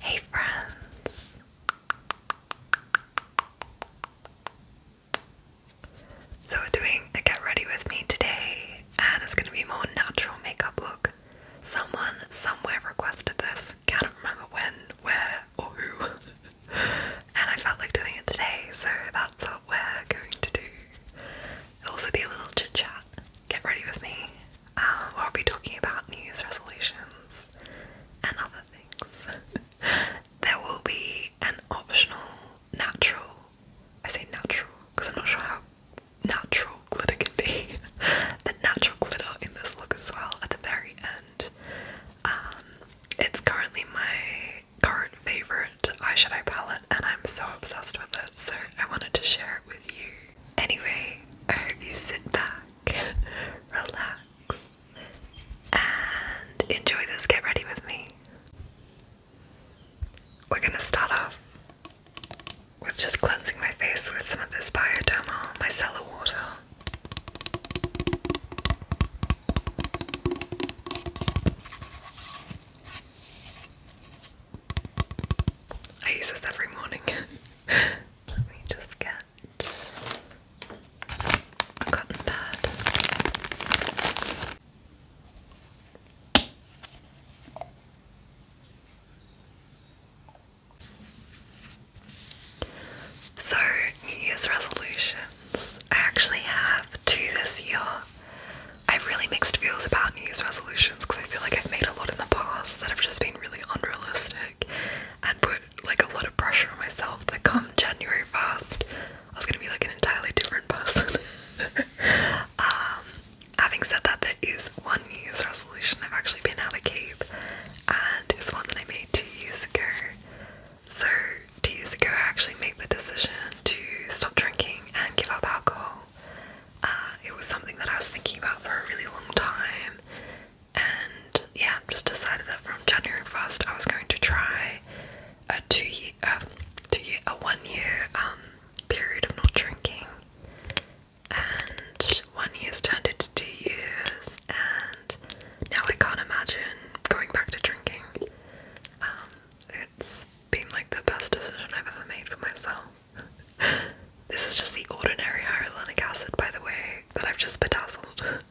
Hey friends! So we're doing a get ready with me today and it's going to be more natural makeup look. Someone somewhere requested this, can't remember when, where or who and I felt like doing it today so that's what we're going to do. also be a little chit chat. Get ready with me um, we'll be talking about New Year's resolutions and other things. there will be an optional natural, I say natural because I'm not sure how natural glitter can be, but natural glitter in this look as well at the very end. Um, it's currently my current favourite eyeshadow palette and I'm so obsessed with it, so I wanted to share it with you. Anyway, I hope you sit back, relax, and enjoy this. Get ready with me. We're gonna start off with just cleansing my face with some of this Bioderma micellar water. I use this every morning. Let me just get a cotton pad. So, New Year's resolutions. I actually have two this year. I have really mixed feels about New Year's resolutions because I feel like I've made a lot in the past that have just been really unrealistic and put like a lot of pressure on myself that come January 1st, I was gonna be like an entirely different person. Um, having said that, there is one New Year's resolution I've actually been out of keep, and it's one that I made two years ago. So, two years ago, I actually made the decision to stop drinking and give up alcohol. Uh, it was something that I was thinking about for a really long time, and yeah, just decided that from January first I was going to try a two year, uh, two year, a one year um, period of not drinking, and one year's turned into two years, and now I can't imagine going back to drinking. Um, it's been like the best decision I've ever made for myself this is just the ordinary hyaluronic acid, by the way, that I've just bedazzled.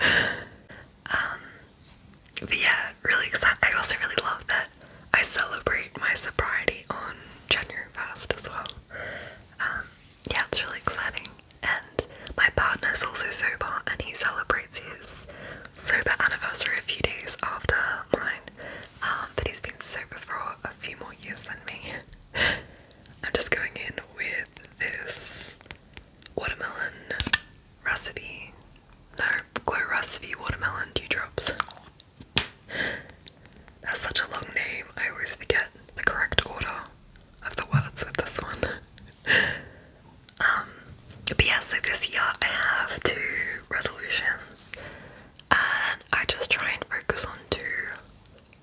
Um, but yeah, really excited. I also really love that I celebrate my sobriety on January fast as well. Um, yeah, it's really exciting. And my partner is also sober, and he celebrates his sober anniversary a few days after mine. Um, but he's been sober for a few more years than me. I'm just going in with this watermelon recipe. No, glow recipe watermelon dewdrops. That's such a long name, I always forget the correct order of the words with this one. Um, but yeah, so this year I have two resolutions and I just try and focus on two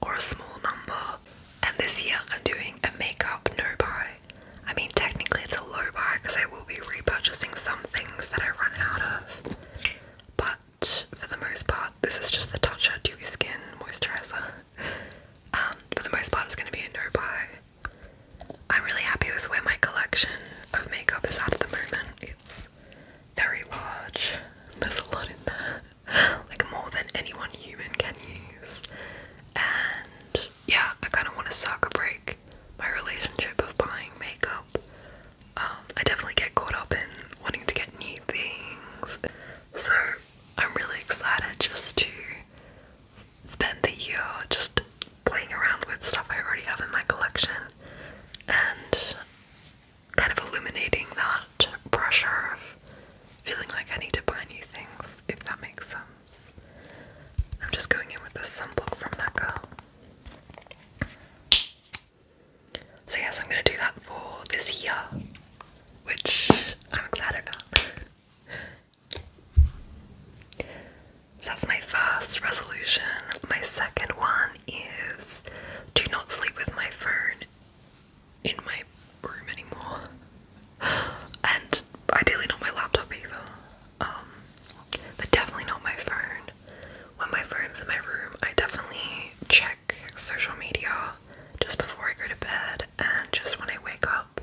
or a small number. And this year I'm doing a makeup no buy. I mean, technically it's a low buy because I will be repurchasing some things that I run out of, but for the most part, this is just the Touch Up Dewy Skin Moisturizer. Um, for the most part, it's going to be a no buy. I'm really happy with where my collection of makeup is at the moment it's very large. There's a lot in there, like more than anyone human can use. And yeah, I kind of want to suck a break my relationship of buying makeup. Um, I definitely get caught up in wanting to get new things, so I'm really excited just to spend the year just playing around with stuff I already have in my collection and kind of illuminating that pressure of feeling like I need to buy new things, if that makes sense. I'm just going in with this sunblock from that girl. So, yes, I'm going to do that for this year, which I'm excited about. So, that's my first resolution. My second one is do not sleep with my phone in my room anymore. And ideally not my laptop either. Um, but definitely not my phone. When my phone's in my room, I definitely check social media just before I go to bed and just when I wake up.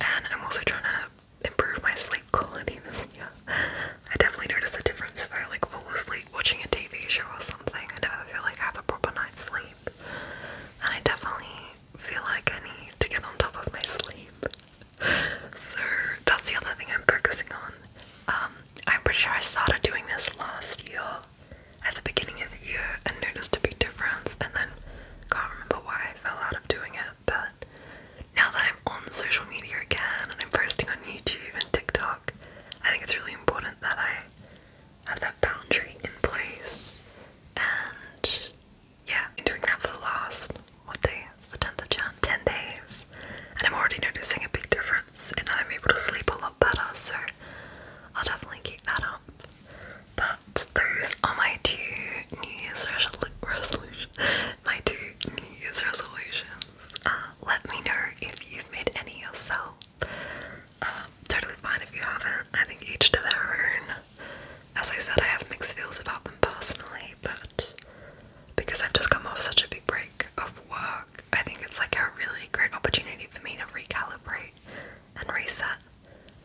And I'm also trying to improve my sleep quality I definitely notice a difference if I like fall asleep watching a TV show or something. I never feel like I have a proper night's sleep. And I definitely feel like I need to get on top of my sleep. So that's the other thing I'm focusing on. Um, I'm pretty sure I started doing this last year at the beginning of the year and noticed a big difference and then can't remember why I fell out of doing it, but now that I'm on social media again and I'm posting on YouTube and TikTok, I think it's really important that I have that boundary in place and yeah, I'm doing that for the last what day? The 10th of Jan, 10 days. And I'm already noticing a big difference and I'm able to sleep a lot better, so I'll definitely keep that up. But those are my two New Year's resolution, my two New Year's resolutions. Uh, let me know if you've made any yourself. Um, totally fine if you haven't. I think each to their own. As I said, I have mixed feels about them personally, but because I've just come off such a big break of work, I think it's like a really great opportunity for me to recalibrate and reset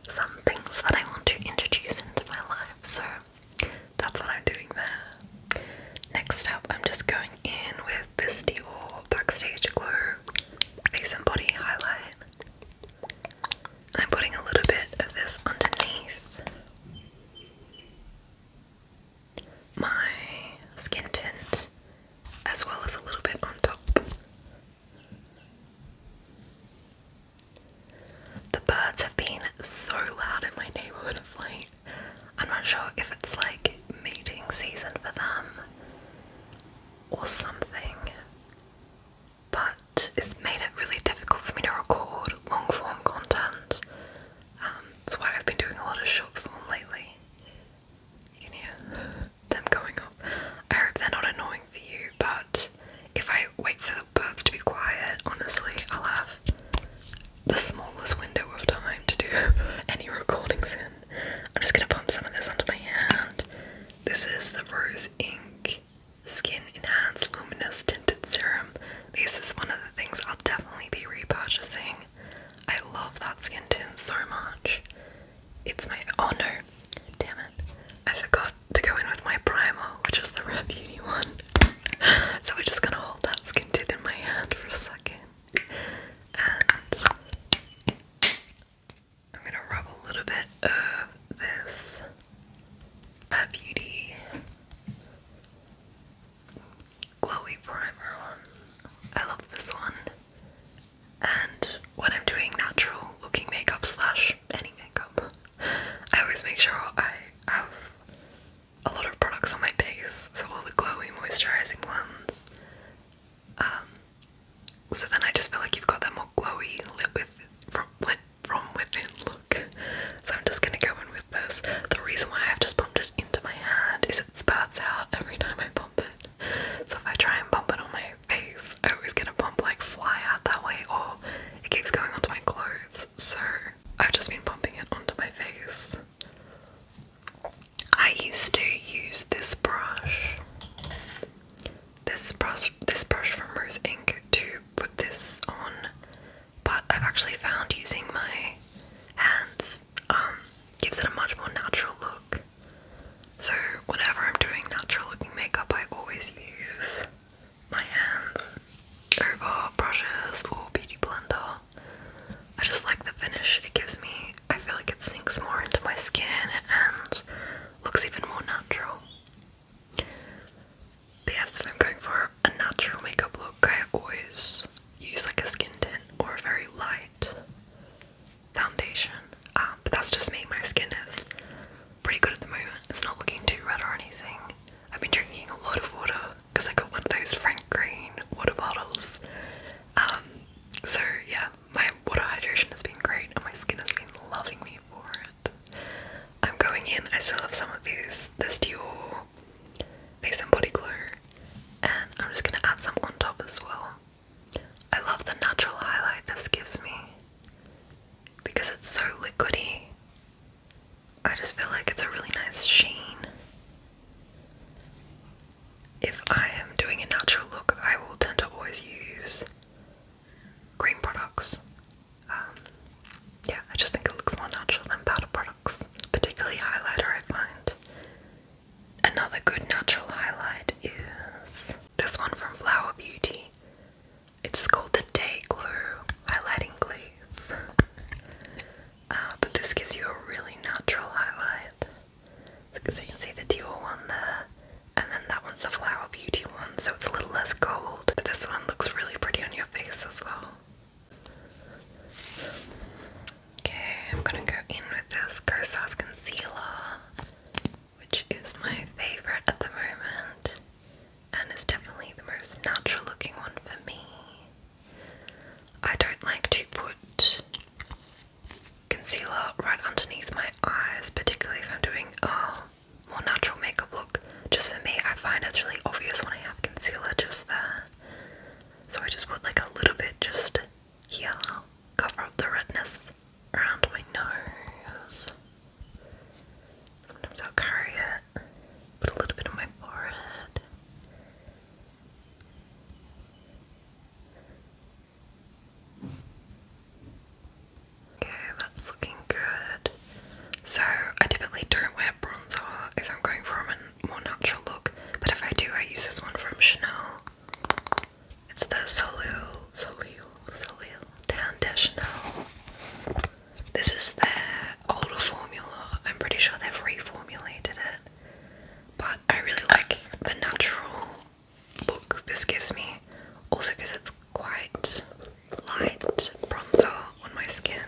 some things that I want to introduce into my life. So that's what I'm doing there. Next up, I'm just going in with this Dior Backstage Glow Face and Body Highlight. I'm putting a little bit of this underneath my skin tint, as well as a little bit on top. The birds have been so loud in my neighborhood of late. I'm not sure if it's like mating season for them or something, but it's made it really difficult for me to record long form content. Um, that's why I've been doing a lot of short form lately. You can hear them going off. I hope they're not annoying for you, but if I wait for the birds to be quiet, honestly, I'll have the smallest window of time to do any recordings in. I'm just gonna pump some of this under my hand. This is the Rose Ink Skin Enhanced Luminous Tinted Serum. This is one of the things I'll definitely be repurchasing. I love that skin tint so much. It's my oh no, damn it! I forgot to go in with my primer, which is the Rare one. so we're just gonna hold that skin tint in my hand for a second, and I'm gonna rub a little bit of this uh, Beauty glowy primer on. I love this one. And when I'm doing natural looking makeup slash any makeup, I always make sure I have a lot of products on my face, so all the glowy moisturizing ones. Um, so then I just feel like you've got that more glowy lit with from lit from within look. So I'm just gonna go in with this. The reason why I've just pumped it into my hand is it spurts out every time I pump it. So if I try and pump it on my face, I always get a pump like fly out that way, or it keeps going onto my clothes. So I've just been pumping it onto my face. I used to use this brush. This brush this brush from Rose Ink to put this on, but I've actually found using my hands um, gives it a much more natural look. So whenever I'm doing natural looking makeup I always use my hands over brushes or beauty blender I just like the finish it gives me. I feel like it sinks more into my skin and looks even more natural. But yes, if I'm going for a natural makeup look, I always use like a skin tint or a very light foundation. Um, but that's just me. My skin is pretty good at the moment. It's not looking too red or anything. I've been drinking a lot of water because I got one of those Frank Green water bottles. Um, so yeah, my water hydration has been great and my skin has been loving me for it. I'm going in, I still have some of these, this Dior Face and Body Glow, and I'm just going to add some on top as well. I love the natural highlight this gives me because it's so liquidy I just feel like it's a really nice sheen. If I am doing a natural look, I will tend to always use green products. Um, yeah, I just think it looks more natural than powder products, particularly highlighter, I find. Another good natural highlight is this one from Flower Beauty. It's called the Day Glow Highlighting Glaze. Uh, but this gives you a really natural highlight. because you can see the dual one there, and then that one's the Flower Beauty one, so it's a little less gold. But this one looks really pretty on your face as well. Okay, I'm gonna go in with this Kosas Concealer, which is my favourite at the moment, and it's definitely the most natural looking one for me. I don't like to put concealer right underneath my eyes, particularly if I'm doing a more natural makeup look. Just for me, I find it's really obvious when I have concealer just there. So I just put like a little bit just here, cover up the redness around my nose. Sometimes I'll carry it Put a little bit on my forehead. Okay, that's looking good. So, I typically don't wear bronzer if I'm going for a more natural look, but if I do, I use this one from Chanel. It's the Solil, Solil, Solil Tan de Chanel. This is their older formula. I'm pretty sure they've reformulated it. But I really like the natural look this gives me. Also, because it's quite light bronzer on my skin.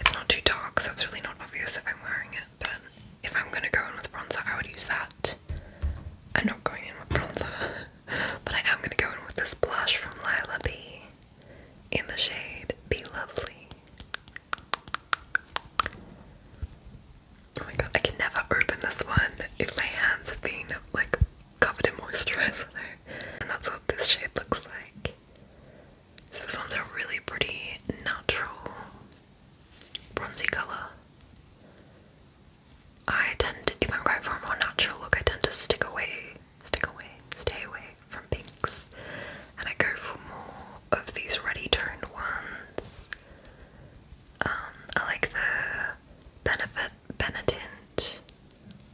It's not too dark, so it's really not obvious if I'm wearing it. But if I'm going to go in with bronzer, I would use that. I'm not going in with bronzer, but I am going to go in with this blush from Lila B in the shade Be Lovely. Oh my god, I can never open this one if my hands have been like covered in moisturizer. And that's what this shade looks like. So this one's a really pretty natural bronzy colour. I tend if I'm going for a more natural look, I tend to stick away stick away, stay away from pinks. And I go for more of these ruddy toned ones. Um, I like the Benefit Benetint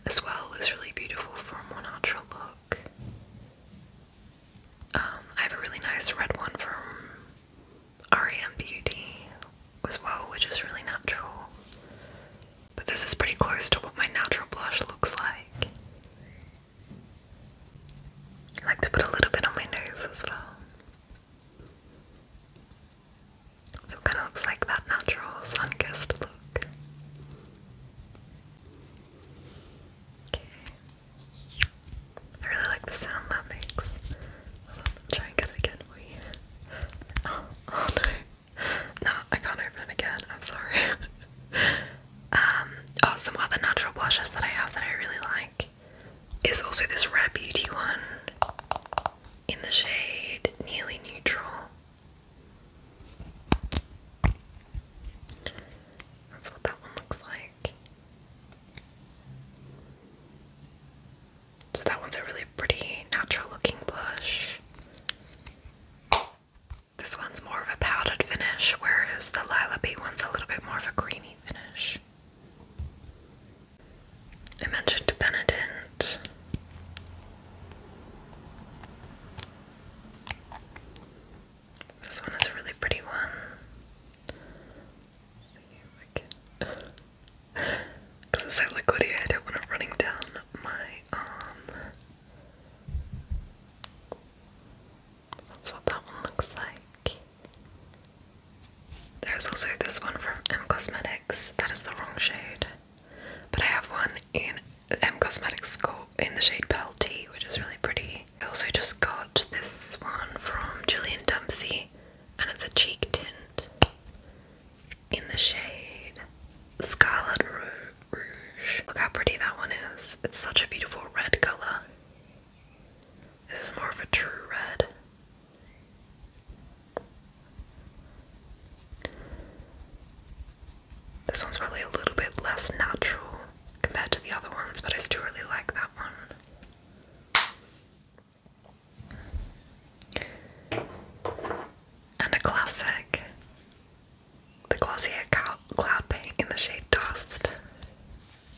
as well, is really beautiful for a more natural look. Um, I have a really nice red one from REM Beauty as well, which is really natural. But this is pretty close to what my natural blush looks like. I like to put a little bit on my nose as well. So it kind of looks like that natural sun kissed look. Okay. I really like the sound that makes. try and get it again oh, oh no no, I can't open it again. I'm sorry. um, oh, some other natural blushes that I have that I really like is also this Rare Beauty one in the shade Nearly Neutral. That's what that one looks like. So that one's a really pretty natural looking blush. This one's more of a powdered finish, whereas the Lilac one's a little bit more of a creamy finish. I mentioned This one is a really pretty one. Because it's so liquidy, I don't want it running down my arm. Um, that's what that one looks like. There's also this one from M Cosmetics. That is the wrong shade. But I have one in M Cosmetics called in the shade Pearl Tea, which is really pretty. I also just got this one from Julian Dempsey, and it's a cheek tint in the shade Scarlet Rouge. Look how pretty that one is. It's such a beautiful red color. This is more of a true red. This one's probably a little bit less natural compared to the other ones, but I still really like that one. And a classic the Glossier Cloud Paint in the shade Dust,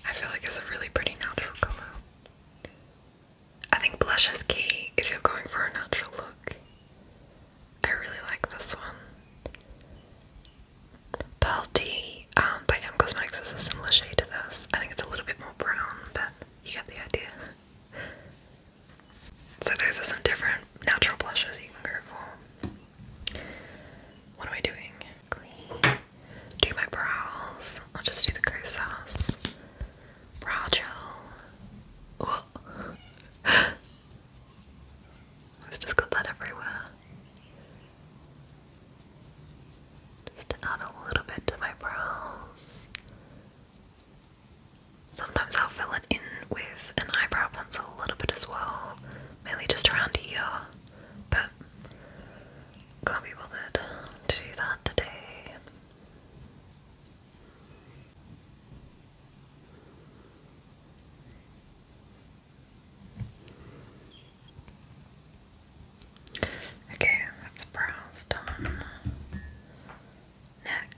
I feel like it's a really pretty natural color. I think blush is key if you're going for a natural look. I really like this one. Pearl Tea um, by M Cosmetics is a similar shade to this. I think it's a little bit more brown, but you get the idea. So those are some different natural blushes you can go for. What am I doing? Do my brows. I'll just do the Kosas. Brow gel. Oh. It's just got that everywhere. Just add a little bit to my brows. Sometimes I'll fill it in with an eyebrow pencil a little bit as well, mainly just around here, but can't be bothered to do that today. Okay, that's brows done.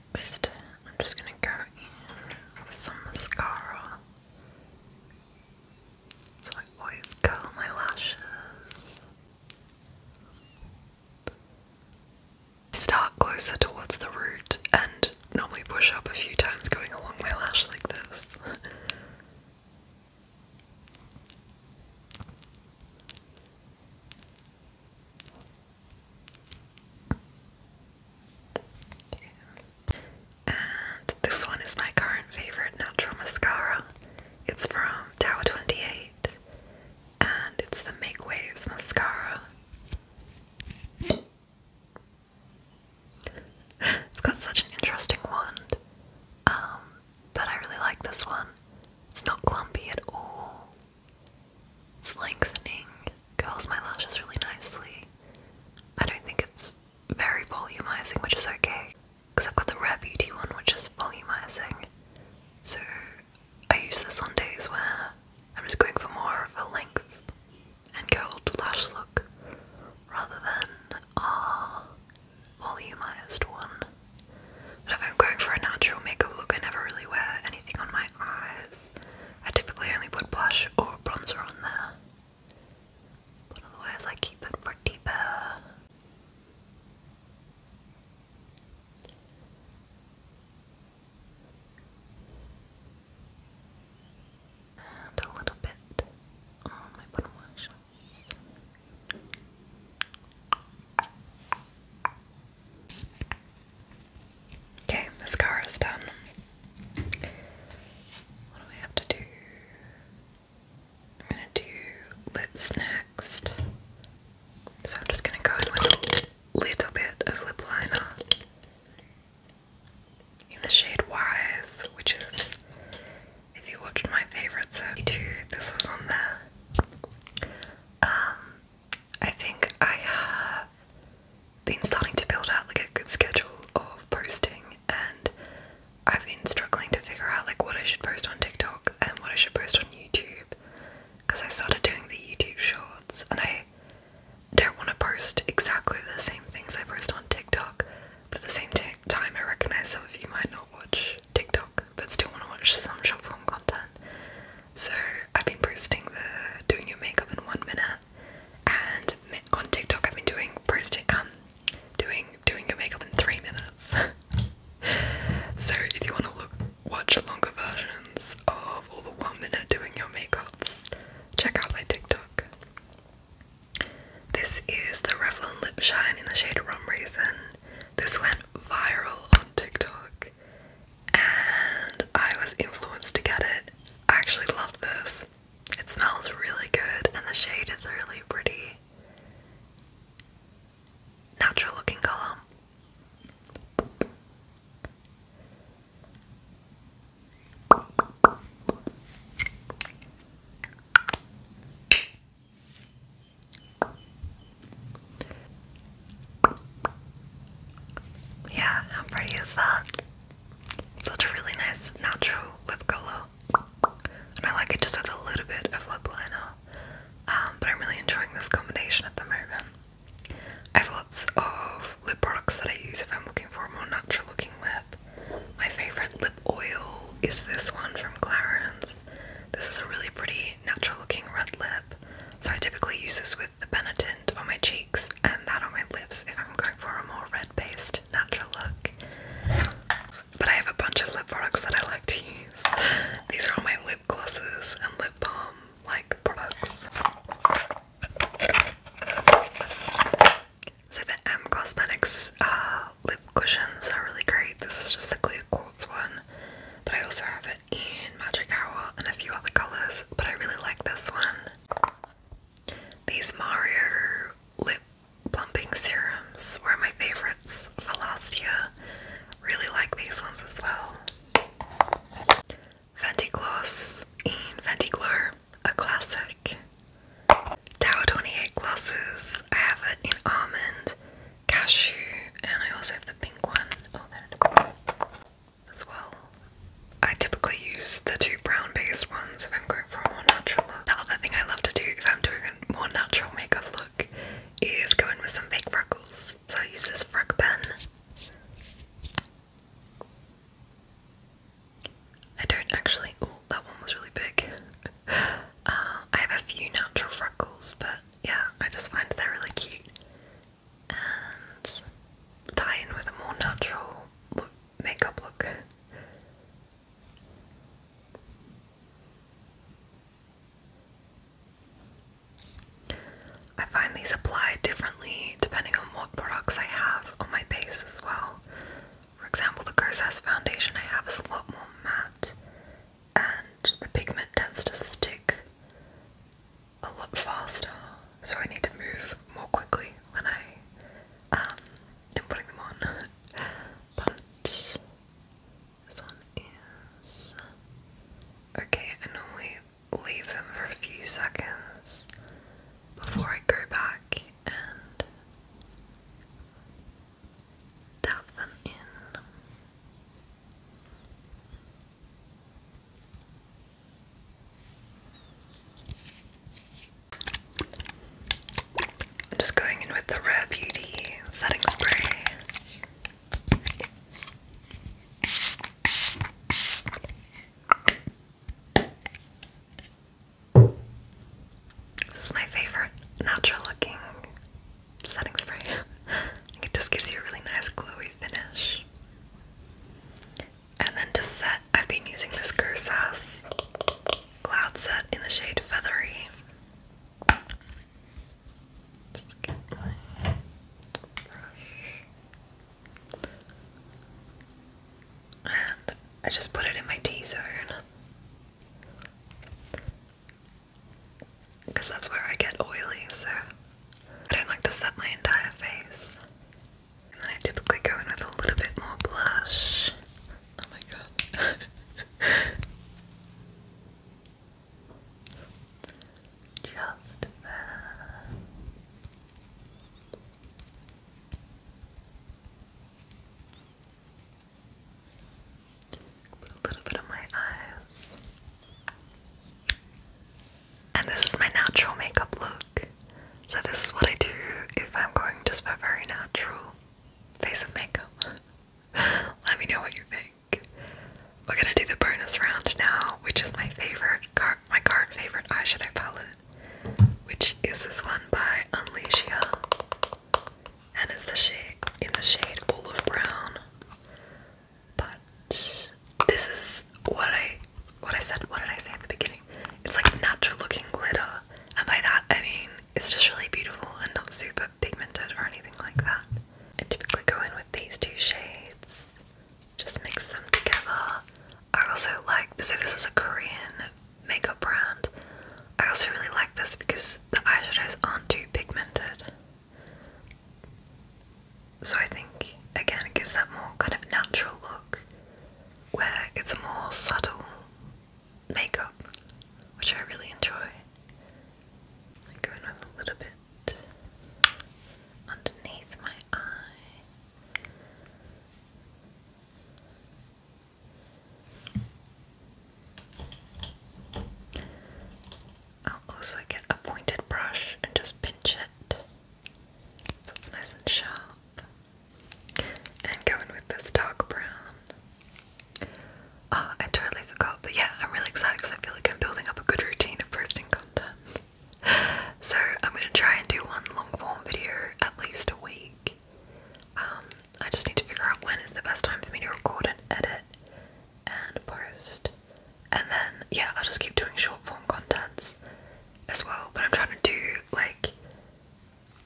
Next, I'm just going to go in with some mascara. So I always curl my lashes. Start closer towards the root and normally push up a few times going along my lash like this. And this one is my current favorite natural mascara. It's from Tower 28 and it's the Make Waves mascara. It's got such an interesting wand, um, but I really like this one. It's not clumpy at all. It's lengthening, curls my lashes really nicely. I don't think it's very volumizing, which is okay, because I've got the Rare Beauty one, which is volumizing. So I use this on days where I'm just going for more of a length and curled lash look rather than a volumized one. But if I'm going for a natural makeup look, I never really wear anything on my I typically only put blush or bronzer on there. But otherwise I keep it pretty bare. And a little bit on my bottom lashes. Okay, mascara's done. What do we have to do? I'm gonna do lips next. So I'm just gonna go in with a little bit of lip liner in the shade Wise, which is, if you watched my favourite 32, this was on there. Um, I think I have been starting to build out like a good schedule of posting and I've been struggling to figure out like what I should post on TikTok and what I should post on YouTube because I started doing the YouTube shorts and I don't want to post exactly the same things I post on TikTok but at the same time I recognize some of you might not watch TikTok but still want to watch some short form content so I've been posting the doing your makeup in one minute, and on TikTok I've been doing posting um doing doing your makeup in three minutes. so if you want to look watch longer versions of all the one minute doing your makeups, check out my TikTok. This is the Revlon Lip Shine in the shade Rum Raisin. This went viral on TikTok and I was influenced to get it. I actually love this. It smells really good, and the shade is really pretty, natural looking color. Yeah, how pretty is that? Such a really nice natural lip color. And I like it just with a little bit of lip liner. Um, but I'm really enjoying this combination at the moment. I have lots of lip products that I use if I'm looking for a more natural looking lip. My favourite lip oil is this one from Clarins. This is a really pretty natural looking red lip. So I typically use this with the Benetint on my cheeks and that on my lips if I'm going for a more red-based natural look. But I have a bunch of lip products that I like to use. These are all my lip glosses and lip balm like products. So the M Cosmetics uh, lip cushions are really great. This is just the clear quartz one but I also have it in Magic Hour and a few other colours, but I really like this one. These Mario lip plumping serums were my favourites for last year. Really like these ones as well. Fenty Gloss in Fenty Glow, a classic. Tower 28 glosses. I have it in almond, cashew, and I also have the pink one. Oh, there it is as well. I typically use the two brown based ones if I'm going for a more natural look. The thing I love to do if I'm doing a more natural makeup look is go with some fake freckles. So I use this freck pen. I don't actually. Oh, that one was really big. Uh, I have a few natural freckles, but yeah, I just find they're really cute and tie in with a more natural makeup look. I find these apply differently depending on what products I have on my base as well. For example, the Kosas foundation I have is a lot more matte and the pigment tends to stick a lot faster, so I need to move more quickly when I am um, putting them on. but this one is okay. I normally leave them for a few seconds before I go back and tap them in. I'm just going in with the Rare Beauty setting spray. This is my favorite natural looking setting spray. it just gives you a really nice glowy finish. And then to set, I've been using this Gersas Cloud Set in the shade Feathery. And I just put it in my T-zone because that's where I get oily, so I don't like to set my entire face. And then I typically go in with a little bit more blush. Oh my god. Just there. a little bit on my eyes. And this is my natural makeup look. So, this is what I do if I'm going just for very natural face of makeup. Let me know what you think. We're gonna do the bonus round now, which is my favorite, my current favorite eyeshadow palette, which is this one by Unleashia, and it's the shade in the shade olive brown. But this is what I what I said. What did I say at the beginning? It's like natural looking glitter, and by that I mean it's just really beautiful and not super pigmented or anything like that. I typically go in with these two shades, just mix them together. I also like so this is a Korean makeup brand. I also really like this because the eyeshadows aren't too pigmented. So I think again it gives that more kind of natural look where it's a more subtle makeup, which I really enjoy. I with a little bit underneath my eye. I'll also get a pointed brush and just pinch it so it's nice and sharp. And go in with this dark brown. Oh, I totally forgot, but yeah, I'm really excited because I feel like I'm building up a good routine of posting content. So I'm going to try and do one long form video at least a week. Um, I just need to figure out when is the best time for me to record and edit and post and then yeah, I'll just keep doing short form contents as well. But I'm trying to do like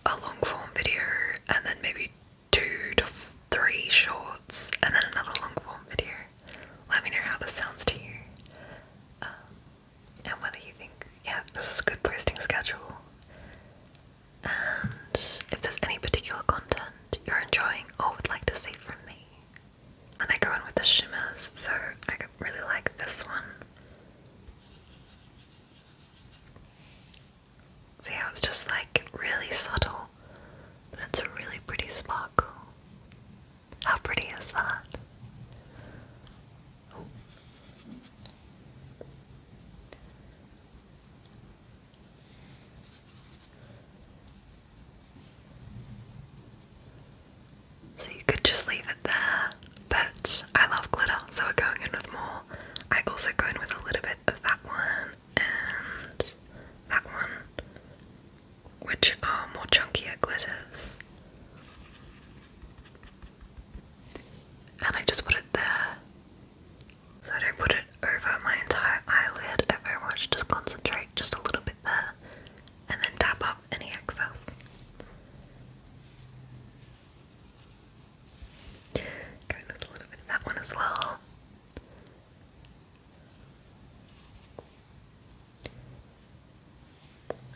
a long form video and then maybe two to three shorts and then another long form video. Let me know how this sounds to you. Um, and whether you think, yeah, this is a good posting schedule. And if there's any particular content you're enjoying or would like to see from me, and I go in with the shimmers, so I really like this one. See how it's just like really subtle, but it's a really pretty sparkle. How pretty is that? So you could just leave it there, but I love glitter, so we're going in with more. I also go in with a little bit of that one and that one, which are more chunkier glitters. And I just put it there. So I don't put it over my entire eyelid. Everyone just concentrate just a little bit there and then tap up any excess. Going with a little bit of that one as well.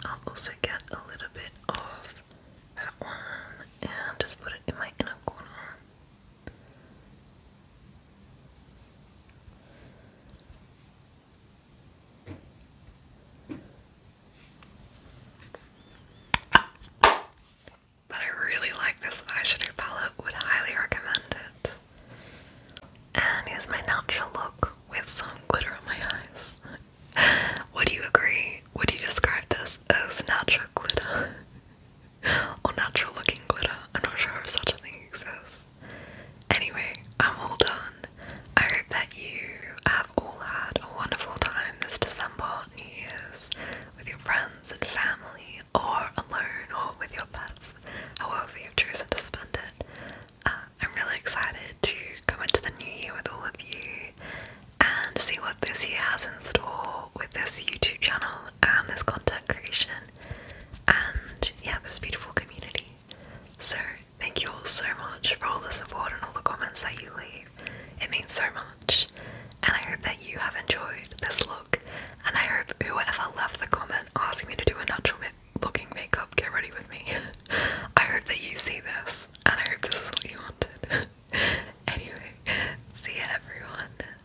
I'll also get a little bit of that one and just put it in my inner corner. But I really like this eyeshadow palette, would highly recommend it. And here's my natural look with some glitter on my eyes. Would you agree? Would you describe this as natural glitter? or natural looking glitter. I'm not sure if such a thing exists. Anyway, I'm all done. I hope that you have all had a wonderful time this December, New Year's, with your friends and family, or alone, or with your pets, however you've chosen to spend it. Uh, I'm really excited to come into the new year with all of you and see what this year has in store with this YouTube channel and this content creation and yeah, this beautiful community. So, thank you all so much for all the support and all the comments that you leave. It means so much, and I hope that you have enjoyed this look. And I hope whoever left the comment asking me to do a natural looking makeup, get ready with me. I hope that you see this, and I hope this is what you wanted. anyway, see ya, everyone.